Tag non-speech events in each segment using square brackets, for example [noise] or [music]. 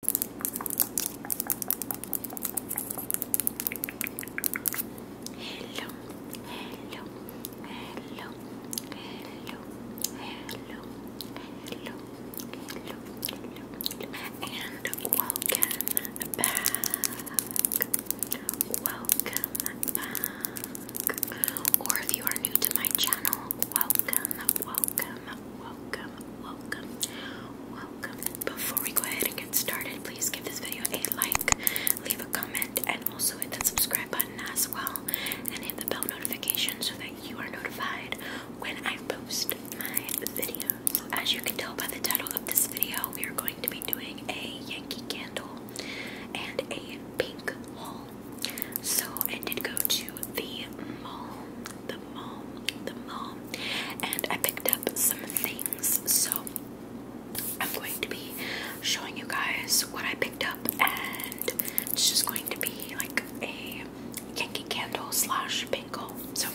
Hello, hello, hello, hello, hello, hello, hello, and welcome back. Welcome back. Or if you are new to my channel, welcome, welcome, welcome welcome, welcome. Before we go ahead and get started, please give this video a like, leave a comment, and also hit that subscribe button as well, and hit the bell notification so that you are notified when I post my videos. As you can tell by the title of this video, we are going to be doing a Yankee candle and a pink haul. So I did go to the mall, mall, the mall, and I picked up some things. So I'm going to be showing you guys what I picked up, and it's just going to be like a Yankee Candle slash bingo. So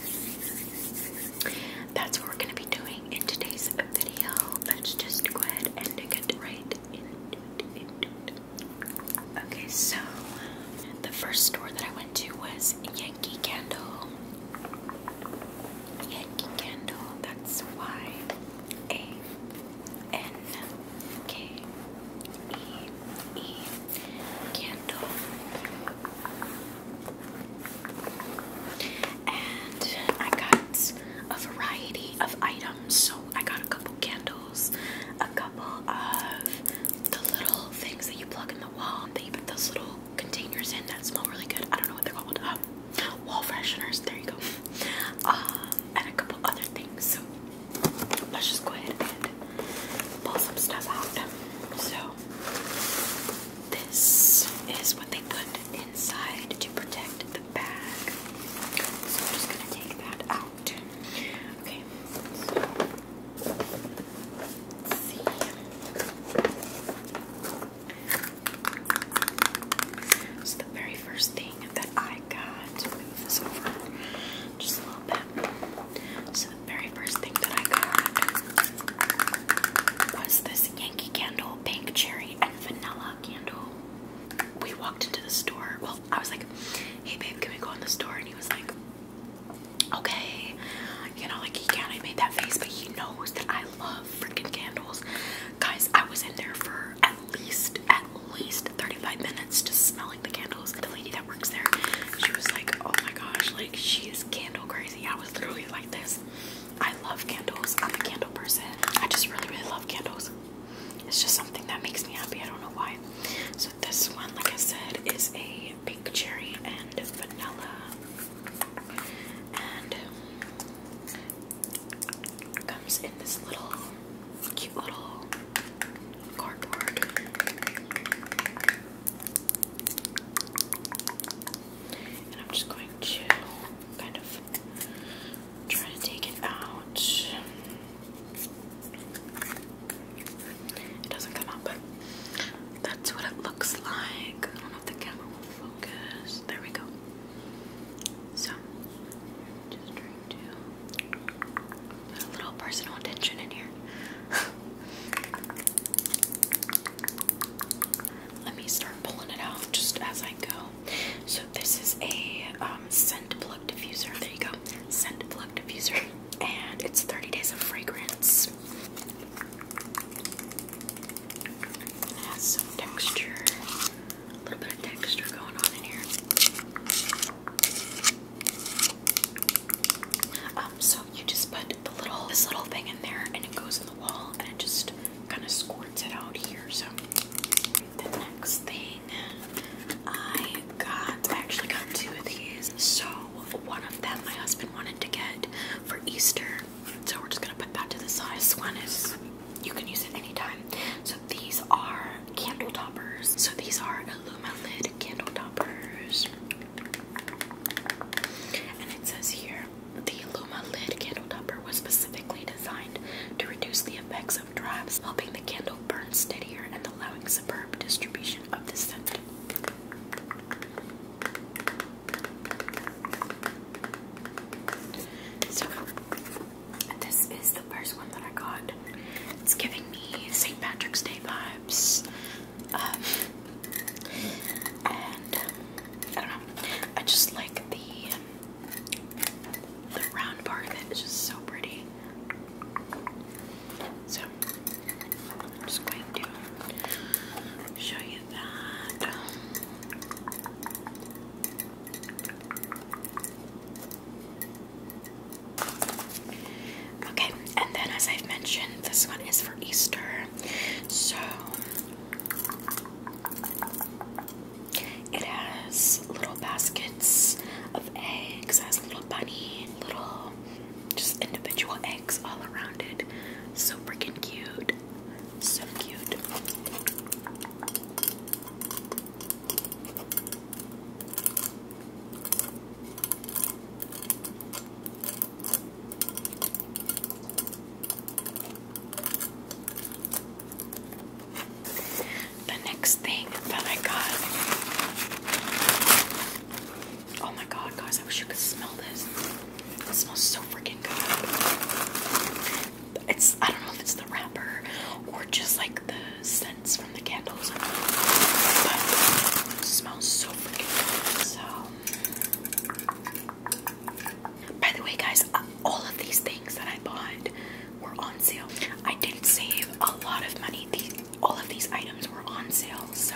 that's what we're going to be doing in today's video. Let's just go ahead and get right in. it. Okay, so the first store that I went went to was Yankee Candle. Yankee Candle, that's why Y A N K E E Candle. And I got a variety of items, so I got a couple candles a couple of the little things that you plug in the wall that you put those little containers in that smell really good. I don't know what they're called. Um, wall fresheners. There you go. Um, and a couple other things. So let's just go ahead and pull some stuff out. So this is what they put inside to protect the bag. So I'm just gonna take that out out. Okay, so let's see. So the very first thing that I got, move this over just a little bit. So the very first thing that I got was this Yankee Candle Pink Cherry and Vanilla Candle. We walked into the store. Well, I was like, hey babe, can we go in the store? And he was like, Okay, you know, like he kind of made that face, but he knows that I love freaking candles, guys. I was in there for at least at least 35 minutes just smelling the candles. The lady that works there, she was like, Oh my gosh, like she is candle crazy. I was literally like this. I love candles, I'm a candle person. I just really, really love candles. It's just something that makes me happy. I don't know why. So this one, like I said, is a pink cherry and vanilla. And comes in this little cute little cardboard. And I'm just going to kind of try to take it out. It doesn't come out, but that's what it looks like. I don't know if the camera will focus. There we go. So, just trying to put a little personal attention in here. [laughs] Let me start pulling it out just as I go. So, this is a um, scent plug diffuser. There you go. Scent plug diffuser. [laughs] and it's 30 days of fragrance. texture, a little bit of texture going on in here. Um, so you just put the little this little thing in there, and it goes in the wall, and it just kind of squirts it out here. So the next thing I got, actually got two of these. So one of them my husband wanted to get for Easter. So we're just gonna put that to the side. This one you can use it anytime. So these are candle toppers. So these are Illumalid candle toppers. And it says here, the Illumalid candle topper was specifically designed to reduce the effects of drafts, helping the candle burn steadier and allowing superb distribution of the scent. So, this is the first one that I got. It's giving me St. Patrick's Day vibes. Um, and I don't know. I just like the the round part of it. It's just so pretty. So, I'm just going to show you that. Okay, and then as I've mentioned, this one is for Easter. So, it has little baskets of eggs. It has little bunny, little just individual eggs all around it. So freaking cute. So cute the next thing that I got. Oh my god, guys, I wish you could smell this. It smells so freaking good. It's, I don't know if it's the wrapper or just like the scents from the candles. But it smells so freaking good. So, by the way, guys, all of these things that I bought were on sale. I did save a lot of money. all of these items were on sale. So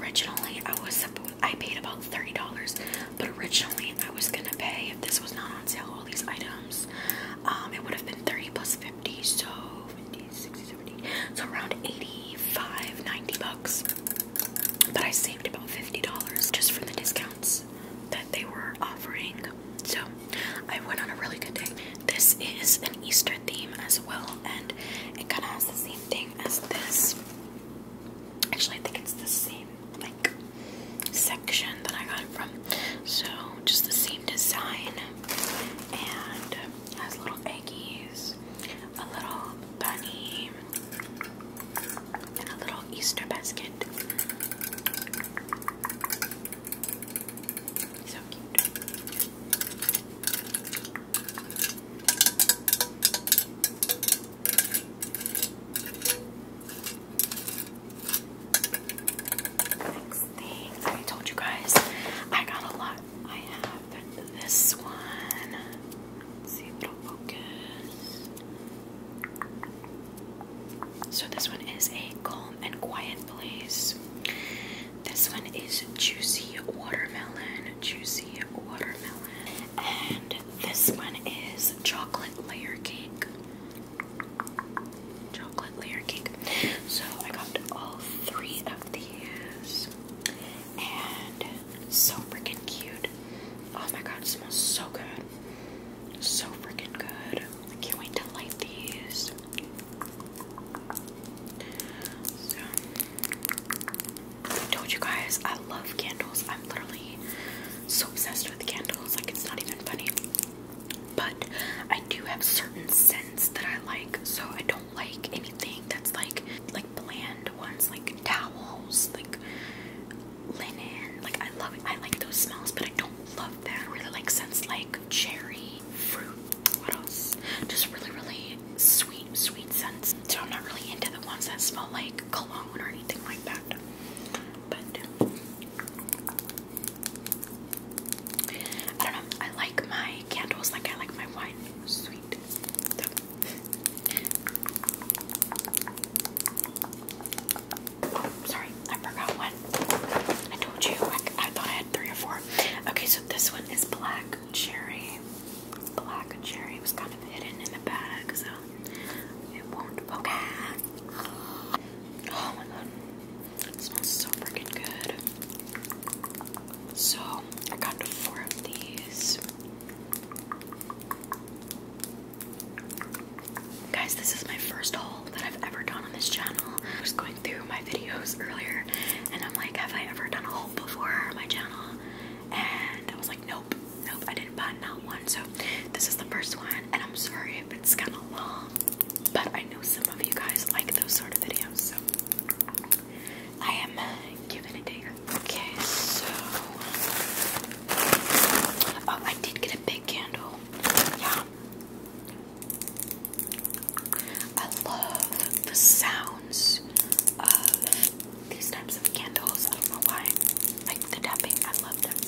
originally I was supposed I paid about thirty dollars, but originally I was gonna pay if this was not on sale. All these items, um, it would have been thirty plus fifty, so 50, 60, 70, so around 85, 90 bucks. But I saved about fifty dollars just from the discounts that they were offering. So I went on a really good day. This is an Easter theme as well, and it kind of has the same thing as this. Actually, I think it's the same like section that I got it from. So just the same design, and has little eggies, a little bunny, and a little Easter basket. So cute. Next thing I told you guys, I got a lot. I have this one. see if it'll focus. So this one is a calm and quiet place. This one is juicy watermelon, juicy watermelon. And this one is chocolate layer cake. Chocolate layer cake. So I got all three of these. And so freaking cute. Oh my god, smells so good. So freaking good. I can't wait to light these. I told you guys I love candles. I'm literally so obsessed with candles, like it's not even funny. But I do have certain scents that I like, so I don't like anything that's like like bland ones, like towels, like linen. Like I love I like those smells, but I don't love that. I really like scents like cherry fruit. What else? Just really, really sweet, sweet scents. So I'm not really into the ones that smell like cologne or anything like that. But I don't know. I like my candles like I like my wine sweet oh, sorry, I forgot one. I told you, I, thought I had three or four. Okay, so this one is black cherry. Black cherry was kind of hidden in the bag, so it won't. Okay. Oh my god, it so freaking good. So, I got four of these. Guys, this is my first haul that I've ever done on this channel. I was going through my videos earlier and I'm like, have I ever done a haul before on my channel? And I was like, nope, nope, I didn't buy not one. So this is the first one and I'm sorry if it's kind of long, but I know some of you guys like those sort of videos. So I am giving it to Okay, so oh, I did get a big candle. Yeah, I love the sounds of these types of candles. I don't know why. Like the tapping, I love that sound.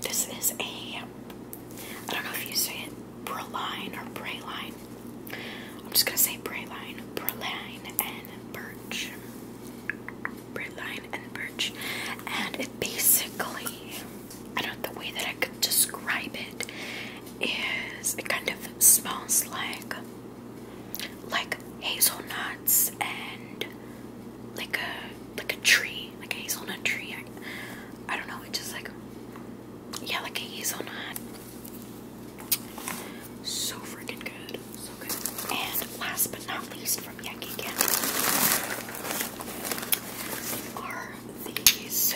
This is a, I don't know if you say it, Praline or Praline. I'm just gonna say Praline, Praline and Birch. Praline and Birch. And it basically, I don't the way that I could describe it is it kind of smells like like hazelnuts and like a like a tree, like a hazelnut tree. I, I don't know. It's just like yeah, like a hazelnut. So freaking good, so good. And last but not least, from Yankee Candle are these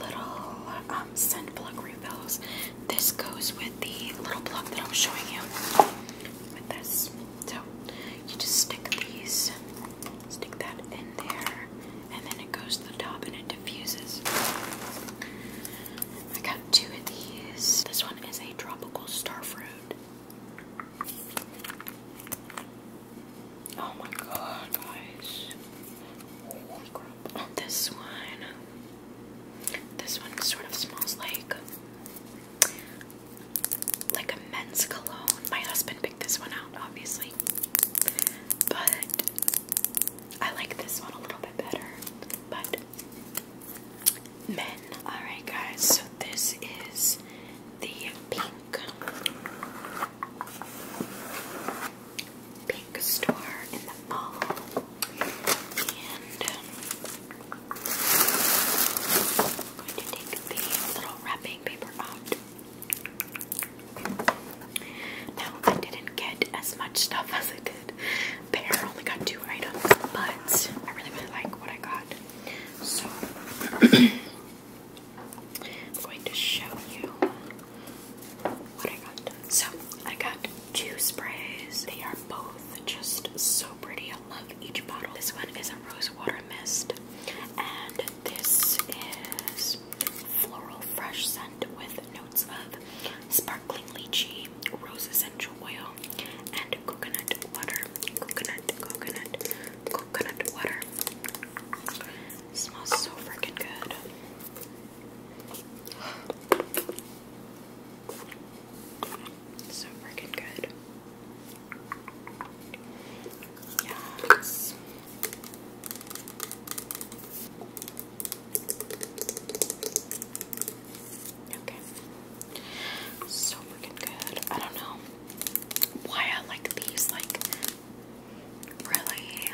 little um, scent refills. This goes with the little plug that I'm showing you with this. So you just stick these, stick that in there, and then it goes to the top and it diffuses. I got two of these. This one is a tropical star fruit. Oh my god, guys. This one. This one sort of smells like like a men's cologne. My husband picked this one out, obviously. But I like this one a little bit better. But men. Alright, guys, so this is the pink. Pink store in the mall. And um, I'm going to take the little wrapping paper out. Now, I didn't get as much stuff [laughs] as I did. Bear only got two items, but I really, really like what I got. So, I'm going to show you what I got. So, I got two sprays. They are both just so pretty love each bottle. This one is a rose water mist, and this is floral fresh scent with notes of sparkling lychee, rose essential oil, and coconut water. Coconut, coconut, coconut water. smells so freaking good. So freaking good. Yes. Okay. So freaking good. I don't know why I like these, like, really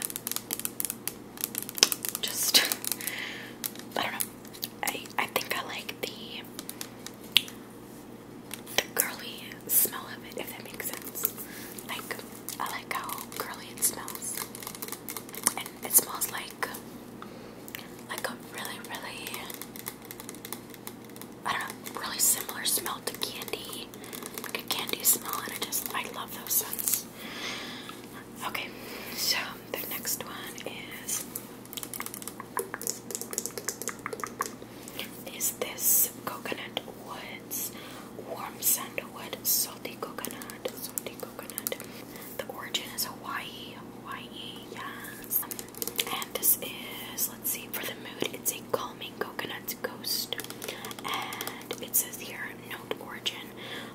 just, [laughs] I don't know, I I think I like the the girly smell of it, if that makes sense. Like I like how curly it smells, and it smells like like a really really I don't know really similar smell to candy, like a candy smell, and I just I love those scents. Okay, so um, the next one is is this coconut woods warm sandalwood salty coconut salty coconut. The origin is Hawaii, Hawaii, yes. and this is let's see for the mood. It's a calming coconut ghost, and it says here note origin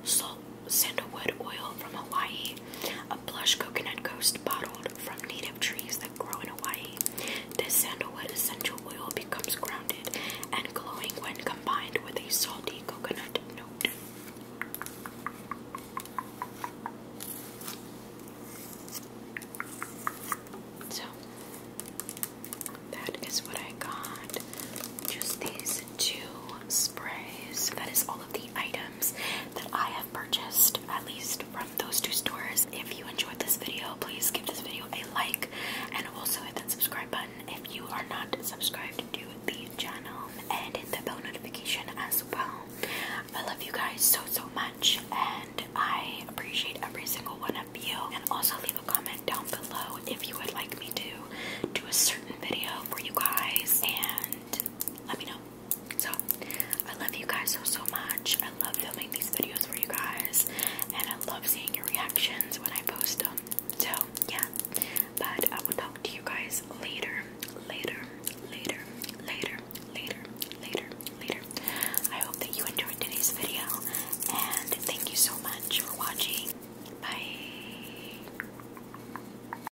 salt sandalwood oil from Hawaii a plush coconut ghost bottled from native trees that grow in Hawaii. This sandalwood essential oil becomes grounded and glowing when combined with a salty coconut note. So that is what I got. Just these two sprays. That is all of the items that I purchased, at least from those two stores. If you enjoyed this video, please give this video a like and also hit that subscribe button if you are not subscribed to the channel and hit the bell notification as well. I love you guys so so much and I appreciate every single one of you. And also leave a comment down below if you would like me to do a certain video for you guys and let me know. So, I love you guys so, so much. I love filming these videos for you guys, and I love seeing your reactions when I post them. So, yeah, but I will talk to you guys later, later, later, later, later, later, later. I hope that you enjoyed today's video, and thank you so much for watching. Bye.